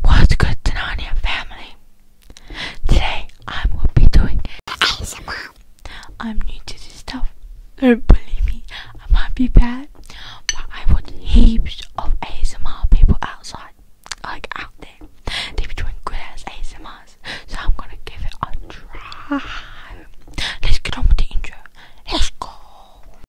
What's good, Tanania family? Today I will be doing ASMR. I'm new to this stuff. Don't believe me, I might be bad, but I watch heaps of ASMR people outside, like out there. They be doing good as ASMRs, so I'm gonna give it a try. Let's get on with the intro. Let's go.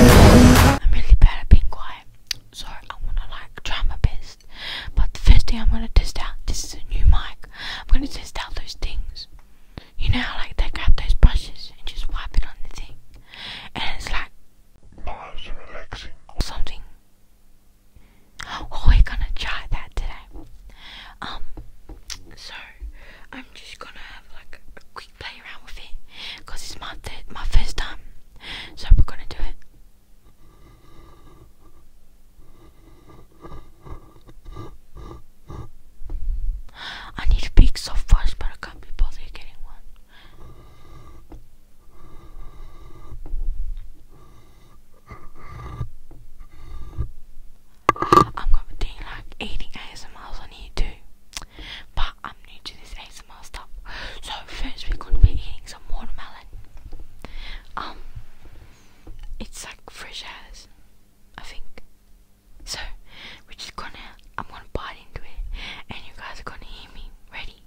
I'm really bad at being quiet, so I wanna like try my best. But the first thing I'm gonna test out, this is a new mic. I'm gonna test out those things. You know, how like they grab those brushes and just wipe it on the thing, and it's like oh, it's relaxing or something. We're gonna try that today. Um, so I'm just gonna have like a quick play around with it because it's my my first time. So we're gonna do it. I need a big soft brush, but I can't be bothered getting one. I'm gonna be doing like 80 ASMRs on YouTube, but I'm new to this ASMR stuff. So first we're gonna be eating some watermelon. Um, it's like fresh as, I think. So we're just gonna, I'm gonna bite into it, and you guys are gonna hear me. Ready?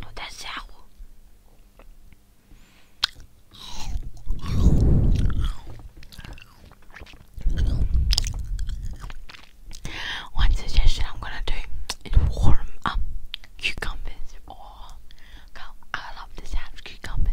我在下午。Once oh, suggestion I'm gonna do is warm up cucumbers. Oh, I love the sound of cucumbers.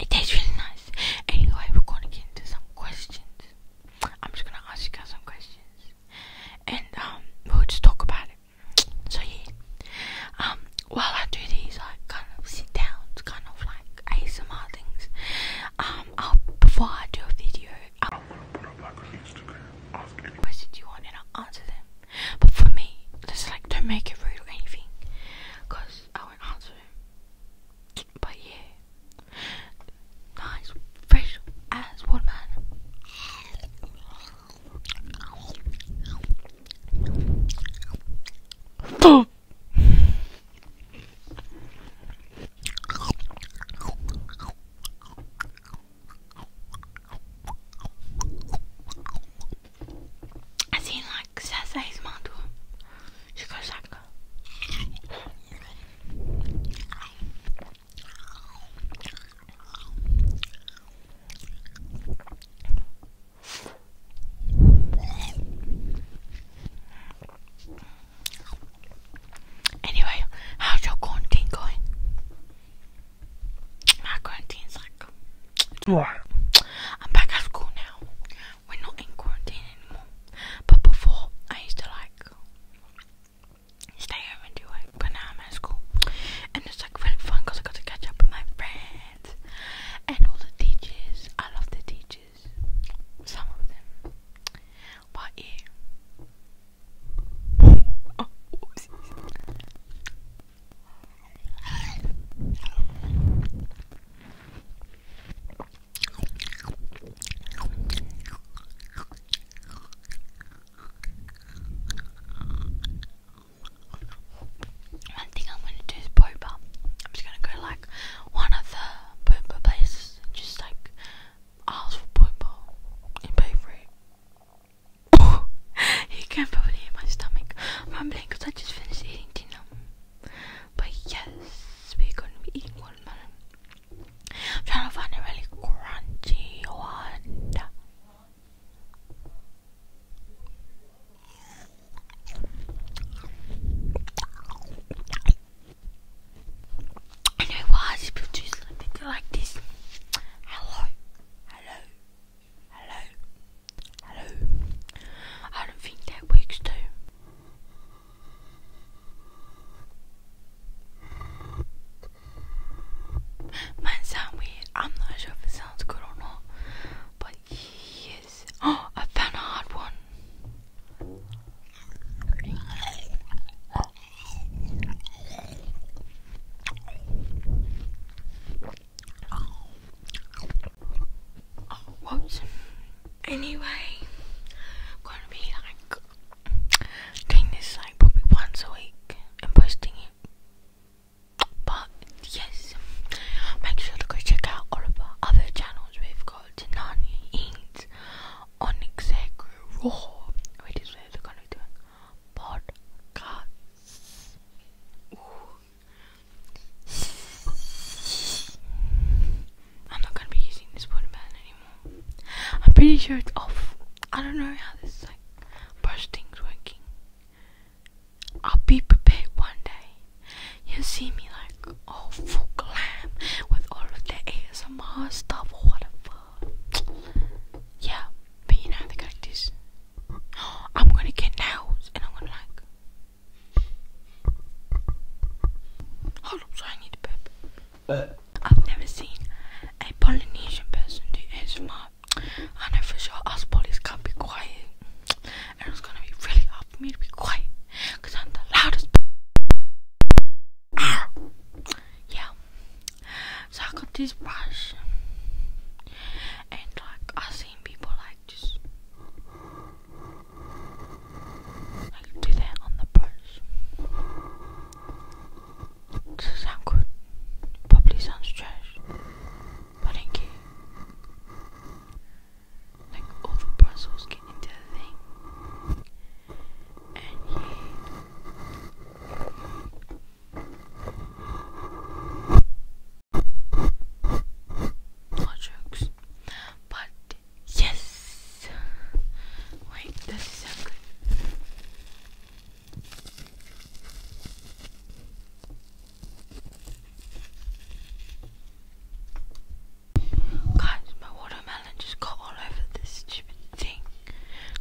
it tastes really nice. Anyway, we're gonna get into some questions. I'm just gonna ask you guys some questions, and um, we'll just talk about it. So yeah, um, while I do these, I kind of sit down, it's kind of like ASMR things. Um, i before I do a video, i gonna put up like an Instagram, ask any questions you want, and I'll answer them. But for me, just like don't make it rude or anything, cause I going on soon. But yeah, nice fresh ass watermelon. I assim, like, ça, ça is mantua. Shikosaka. Anyway, how's your quarantine going? My quarantine's like I'm back at school now. We're not in quarantine anymore. But before, I used to like stay home and do it. But now I'm at school, and it's like really fun I got to catch up with my friends and all the teachers. I love the teachers. Some of them. But yeah. One thing I'm going to do is pooper. I'm just going to go like one of the pooper places and just like ask for pooper and pay for it. Oh, you can probably hear my stomach I'm rumbling because I just finished eating dinner. But yes, we're going to be eating watermelon. I'm trying to find a really crunchy one. I know why people do like this. Hello, hello, Hello? Hello? I don't think that works too. Mine sound weird. I'm not sure if it sounds good or not. But yes. Oh, I found a hard one. Anyway, I'm gonna be like doing this like probably once a week and posting it. But yes, make sure to go check out all of our other channels. We've got Nani Eats, Onyx Egg Raw, which is where are gonna do it podcasts. I'm not gonna be using this water anymore. I'm pretty sure it's off. I don't know how this like brush thing's working. I'll be prepared one day. You'll see me like all full glam with all of the ASMR stuff or whatever. yeah, but you know the cactus. I'm gonna get nails and I'm gonna like. Hold up, sorry, I need to poop. I've never seen a Polynesian person do ASMR. I know for sure us Polys can't be quiet. And it's gonna be really hard for me to be quiet I'm the loudest. Yeah. So I got this brush, and like I've seen people like just like do that on the brush. Does it Probably sounds trash. But I do Like all the bristles get into and he jokes. But yes wait, this is Guys, my watermelon just got all over this stupid thing.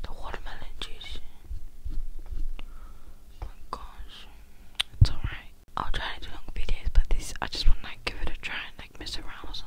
The watermelon juice. Oh my gosh. It's alright. I'll try to do long videos, but this I just wanna give it a try and like mess around or something.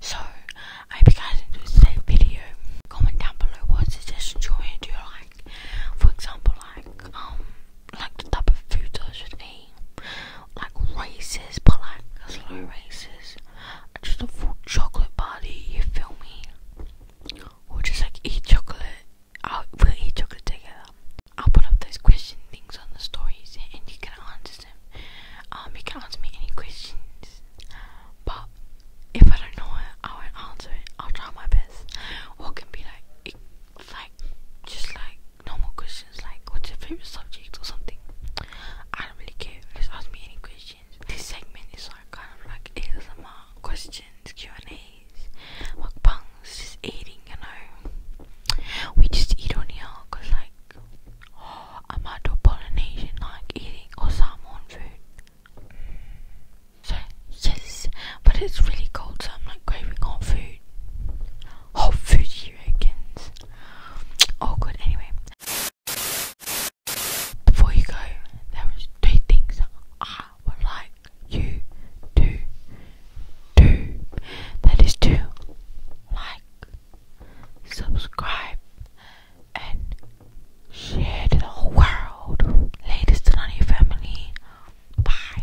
So, I hope you guys enjoyed today's video. Comment down below what you want me to do, like, for example, like, um, like the type of food I should eat, like races, but slow races, just a full chocolate party, you feel me? Or just like eat chocolate I'll, we'll eat chocolate together. I'll put up those question things on the stories and you can answer them. Um, you can answer me any questions, but if I don't know it, I won't answer it. I'll try my best. Or can be like, like, just like normal questions, like what's your favorite subject or something. I don't really care. Just ask me any questions. This segment is kind of like a ASMR questions Q and A days. Mukbang's just eating, you know. We just eat on here because, like, oh, I might do Polynesian, like eating or Samoan food. So, yes, but it's really cold, so I'm like craving hot food. Hot food, here reckons? Oh, good, anyway. Before you go, there was two things would like you to do. That is to like, subscribe, and share to the whole world. Ladies to not your family. Bye.